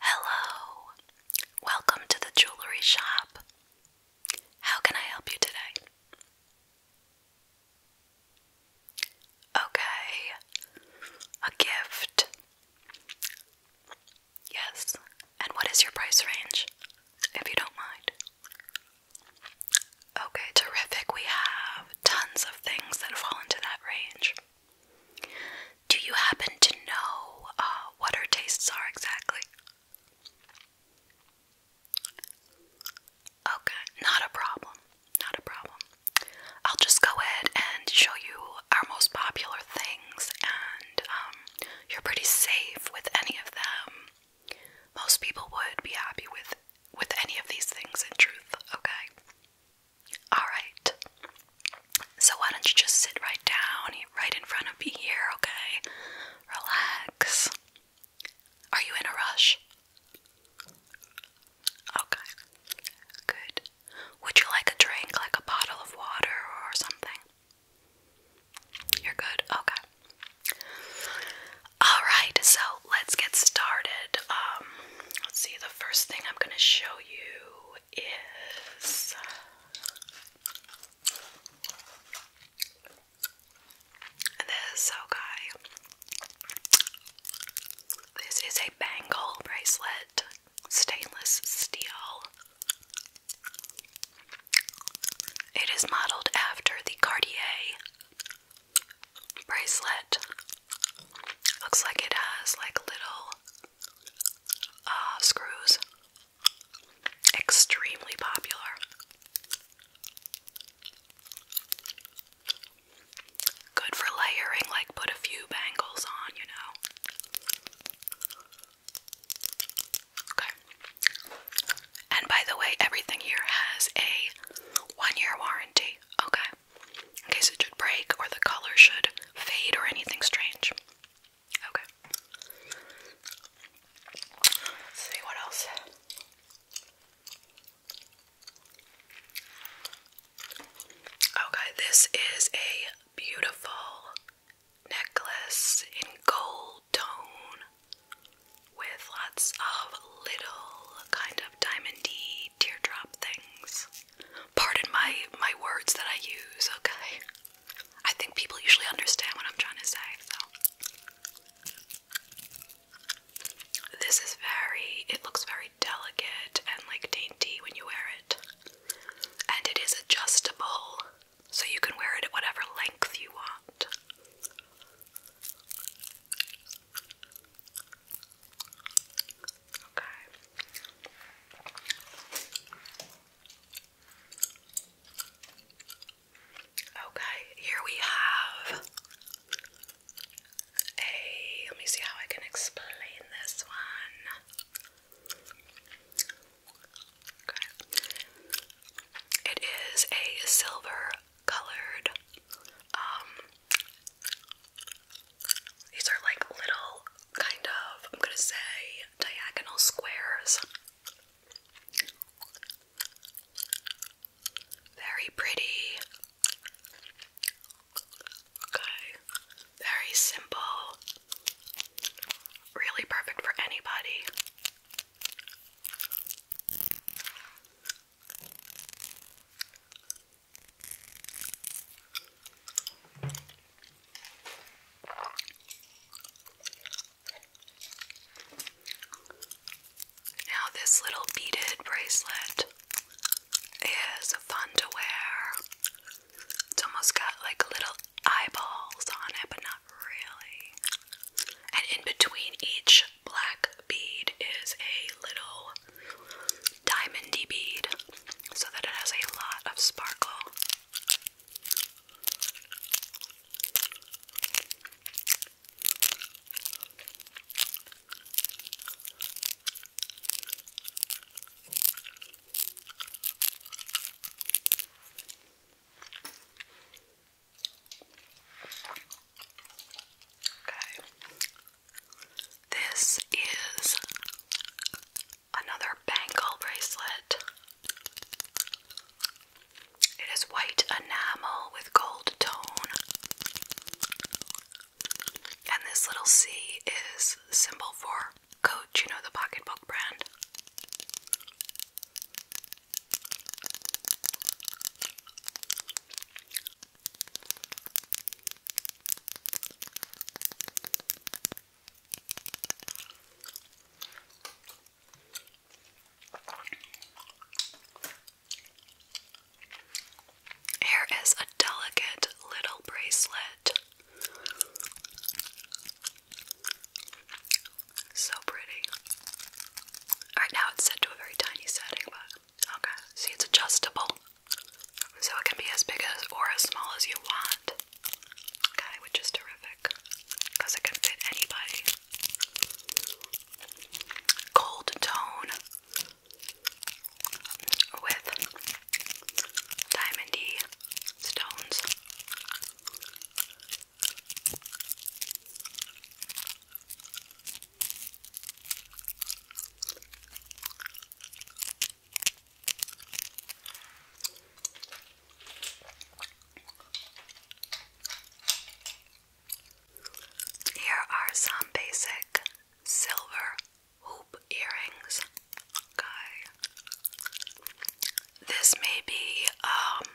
Hello, welcome to the jewelry shop. How can I help you today? Okay, a gift. Yes, and what is your price range, if you don't mind? Okay, terrific. We have tons of things that fall into that range. Do you happen to know uh, what her tastes are exactly? Okay, not a problem. Not a problem. I'll just go ahead and show you our most popular things, and um, you're pretty safe with any of them. Most people would be happy with with any of these things in truth, okay? Alright. So why don't you just sit right down, right in front of me here, okay? Relax. Are you in a rush? Okay. Good. Would you like a drink, like a bottle of water or something? You're good? Okay. Alright, so let's get started. Um, let's see, the first thing I'm going to show you is. This, okay. Oh, this is a bangle bracelet, stainless steel. It is modeled after the Cartier bracelet. Looks like it has like little uh, screws. Extremely popular. Good for layering, like put a few bangles on, you know. Okay. And by the way, everything here has a one year warranty. Okay. In case it should break or the color should fade or anything strange. Okay. see what else. Okay, this is a beautiful necklace in gold tone with lots of little kind of diamondy teardrop things. Pardon my my words that I use, okay? I think people usually understand what I'm trying to say, So This is very it looks very delicate and like dainty when you wear it. And it is adjustable. So you can wear it at whatever length you want. Okay. Okay, here we have a let me see how I can explain this one. It is a silver colored. Um, these are like little kind of, I'm gonna say, diagonal squares. Very pretty. Okay. Very simple. Really perfect for anybody. Now, this little beaded bracelet is fun to wear. It's almost got like little eyeballs on it, but not really. And in between each black bead is a little diamondy bead so that it has a lot of sparkle. Okay. This is another bangle bracelet. It is white enamel with gold tone. And this little C is symbol for Coach, you know, the pocketbook brand. Here is a delicate little bracelet so pretty. Alright, now it's set to a very tiny setting, but okay. See, it's adjustable. So it can be as big as or as small as you want. Okay, which is terrific. Because it can fit anybody. Cold tone with diamondy stones. Here are some basic silver hoop earrings. This may be um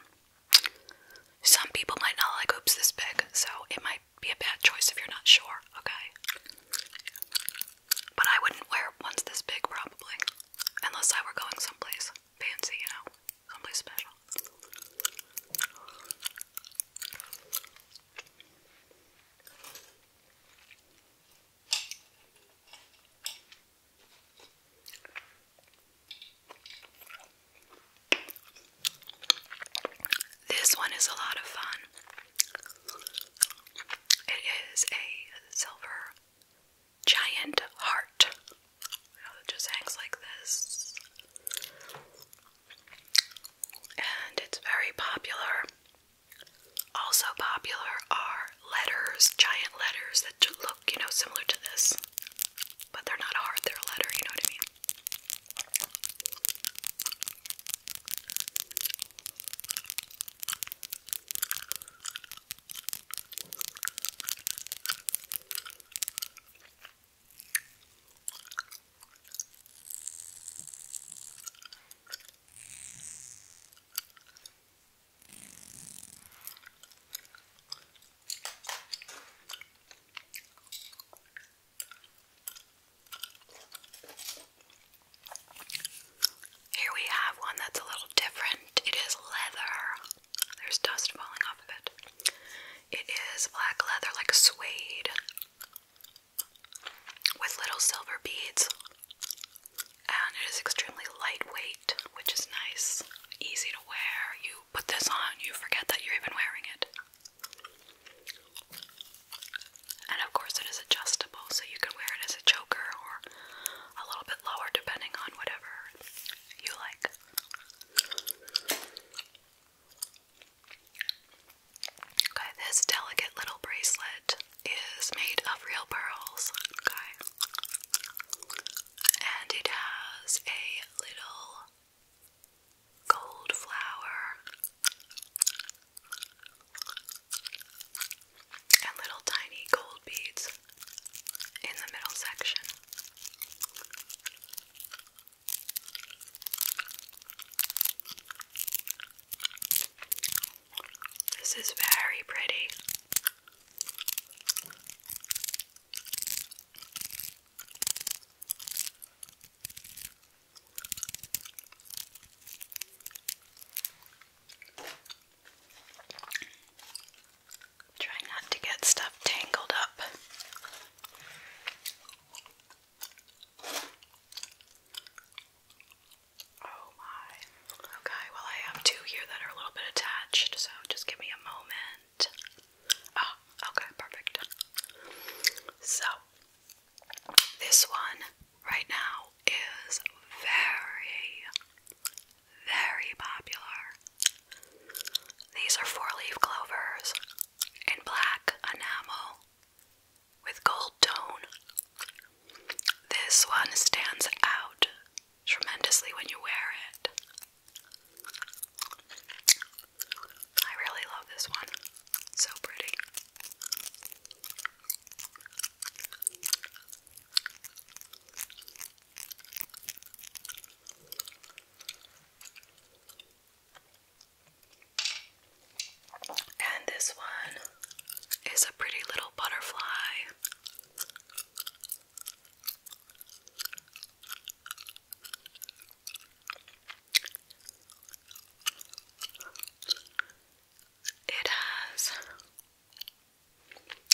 some people might not like hoops this big, so it might be a bad choice if you're not sure, okay? But I wouldn't wear ones this big probably, unless I were going someplace fancy, you know, someplace special. This one is a lot of fun. It is a silver giant heart. it just hangs like this. And it's very popular. Also popular are letters, giant letters that look, you know, similar to this. But they're not hard, they're a letter, you know what I mean? Here we have one that's a little different. It is leather. There's dust falling off of it. It is black leather, like suede, with little silver beads. And it is extremely lightweight, which is nice, easy to wear. You put this on, you forget that you're even wearing it. And of course, it is adjustable, so you can wear it as a choker or a little bit lower, depending on whatever you like. Okay, this delicate little bracelet is made of real pearls. And it has a little gold flower, and little tiny gold beads in the middle section. This is very pretty. Try not to get stuff tangled up. Oh my. Okay, well, I have two here that are a little bit attached, so just give me a moment. Ah, okay, perfect. So, this one right now is very, very popular. These are four leaf clovers in black enamel with gold tone. This one stands out tremendously when you wear it. I really love this one. so pretty. And this one is a pretty little butterfly. It has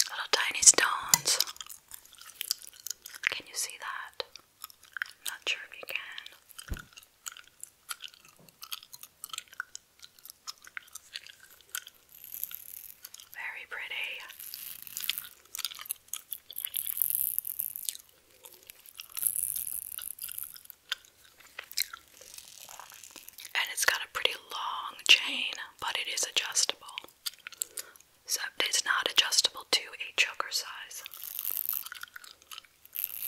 little tiny stones. Can you see that? not sure if you can. Very pretty. And it's got a pretty long chain, but it is adjustable. So it's not adjustable to a choker size.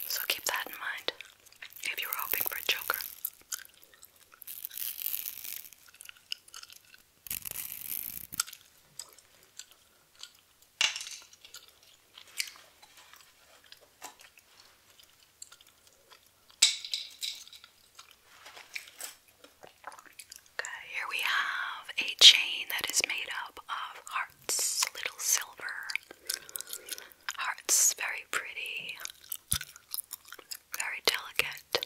So keep that in mind if you were hoping for a choker. Okay, here we have a chain that is made up of hearts, little silver hearts, very pretty, very delicate.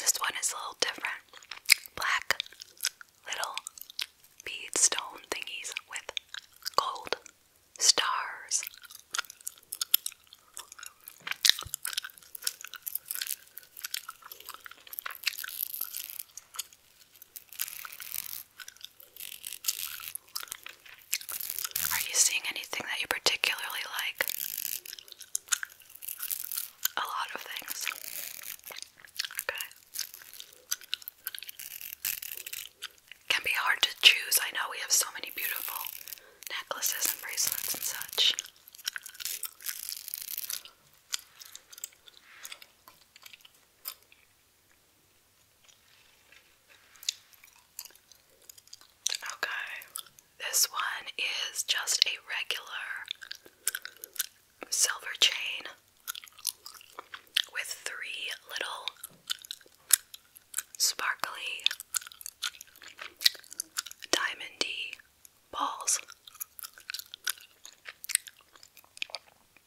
this one is a little different. Black little bead stone thingies with gold stars. Are you seeing anything that you particularly like? A lot of things. Okay. Can be hard to choose. I know we have so many beautiful necklaces and bracelets and such. Okay, this one is just a regular silver chain with three little sparkly diamondy balls.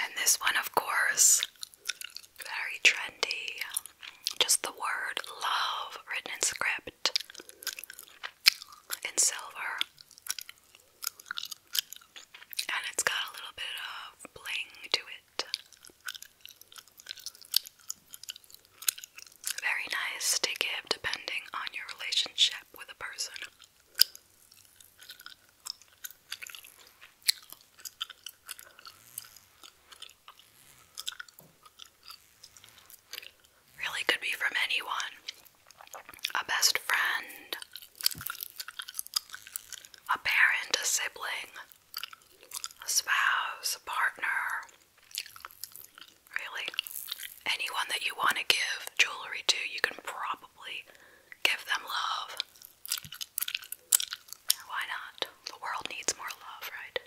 And this one, of course, very trendy. Just the word love written in script in silver. And it's got a little bit of bling to it. Very nice to give depending on your relationship with a person. Really could be from anyone. A best friend, a parent, a sibling, a spouse, a partner. Really? anyone that you want to give jewelry to, you can probably give them love. Why not? The world needs more love, right?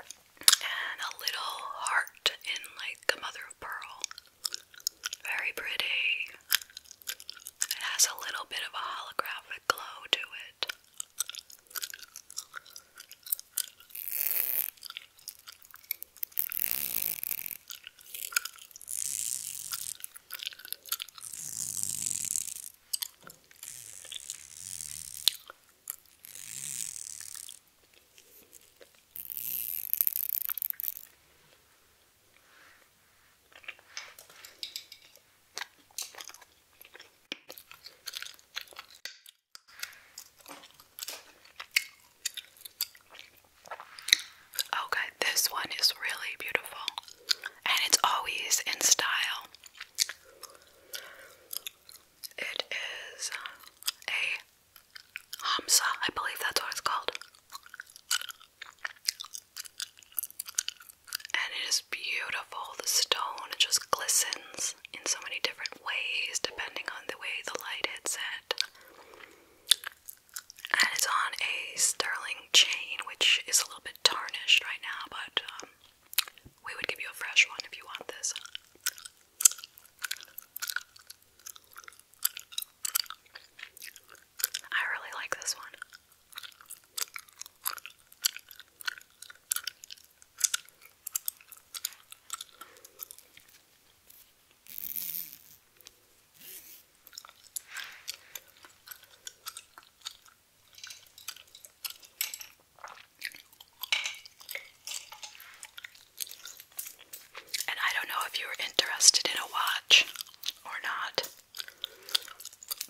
And a little heart in like a mother of pearl. Very pretty. It has a little bit of a holograph glow to it. Okay, oh, this one is really beautiful, and it's always in style. It is a Hamsa, I believe that's what it's called and it is beautiful. The stone just glistens in so many different ways depending on the way the light hits it. And it's on a sterling chain, which is a little bit tarnished right now, but um, we would give you a fresh one if you want this. I really like this one. And I don't know if you're interested in a watch or not.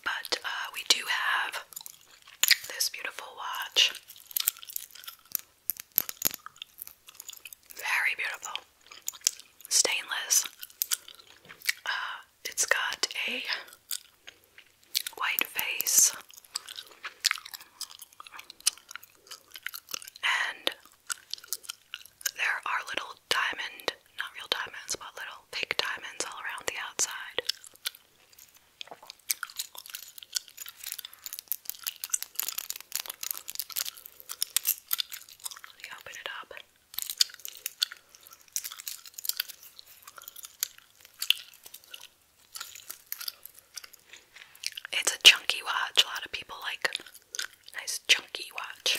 But uh, we do have this beautiful watch. Very beautiful. Stainless. Uh, it's got a white face and there are little diamond, not real diamonds, but little fake diamonds all around the outside. Let me open it up. It's a chunky watch. A lot of people like nice chunky watch.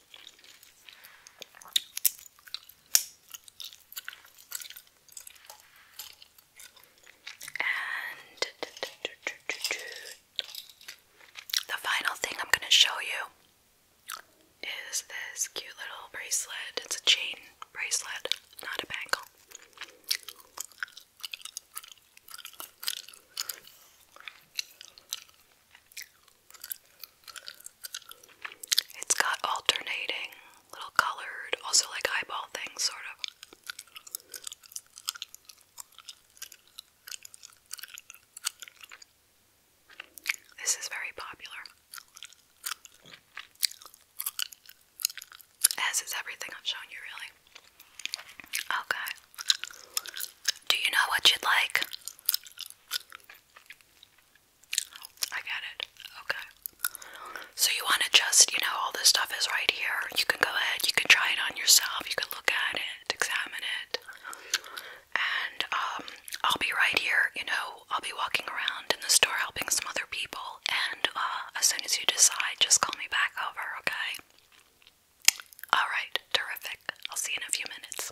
And the final thing I'm going to show you is this cute little bracelet. It's a chain bracelet, not a bangle. It's got alternating little colored, also like eyeball things, sort of. This is very popular. As is everything I've shown you, really. Okay. Do you know what you'd like? I get it. Okay. So you want to just, you know, all this stuff is right here. You can go ahead, you can try it on yourself, you can look at it, examine it. And um, I'll be right here, you know, I'll be walking around in the store helping some other people. And uh, as soon as you decide, just call me back over, okay? Alright, terrific. I'll see you in a few minutes.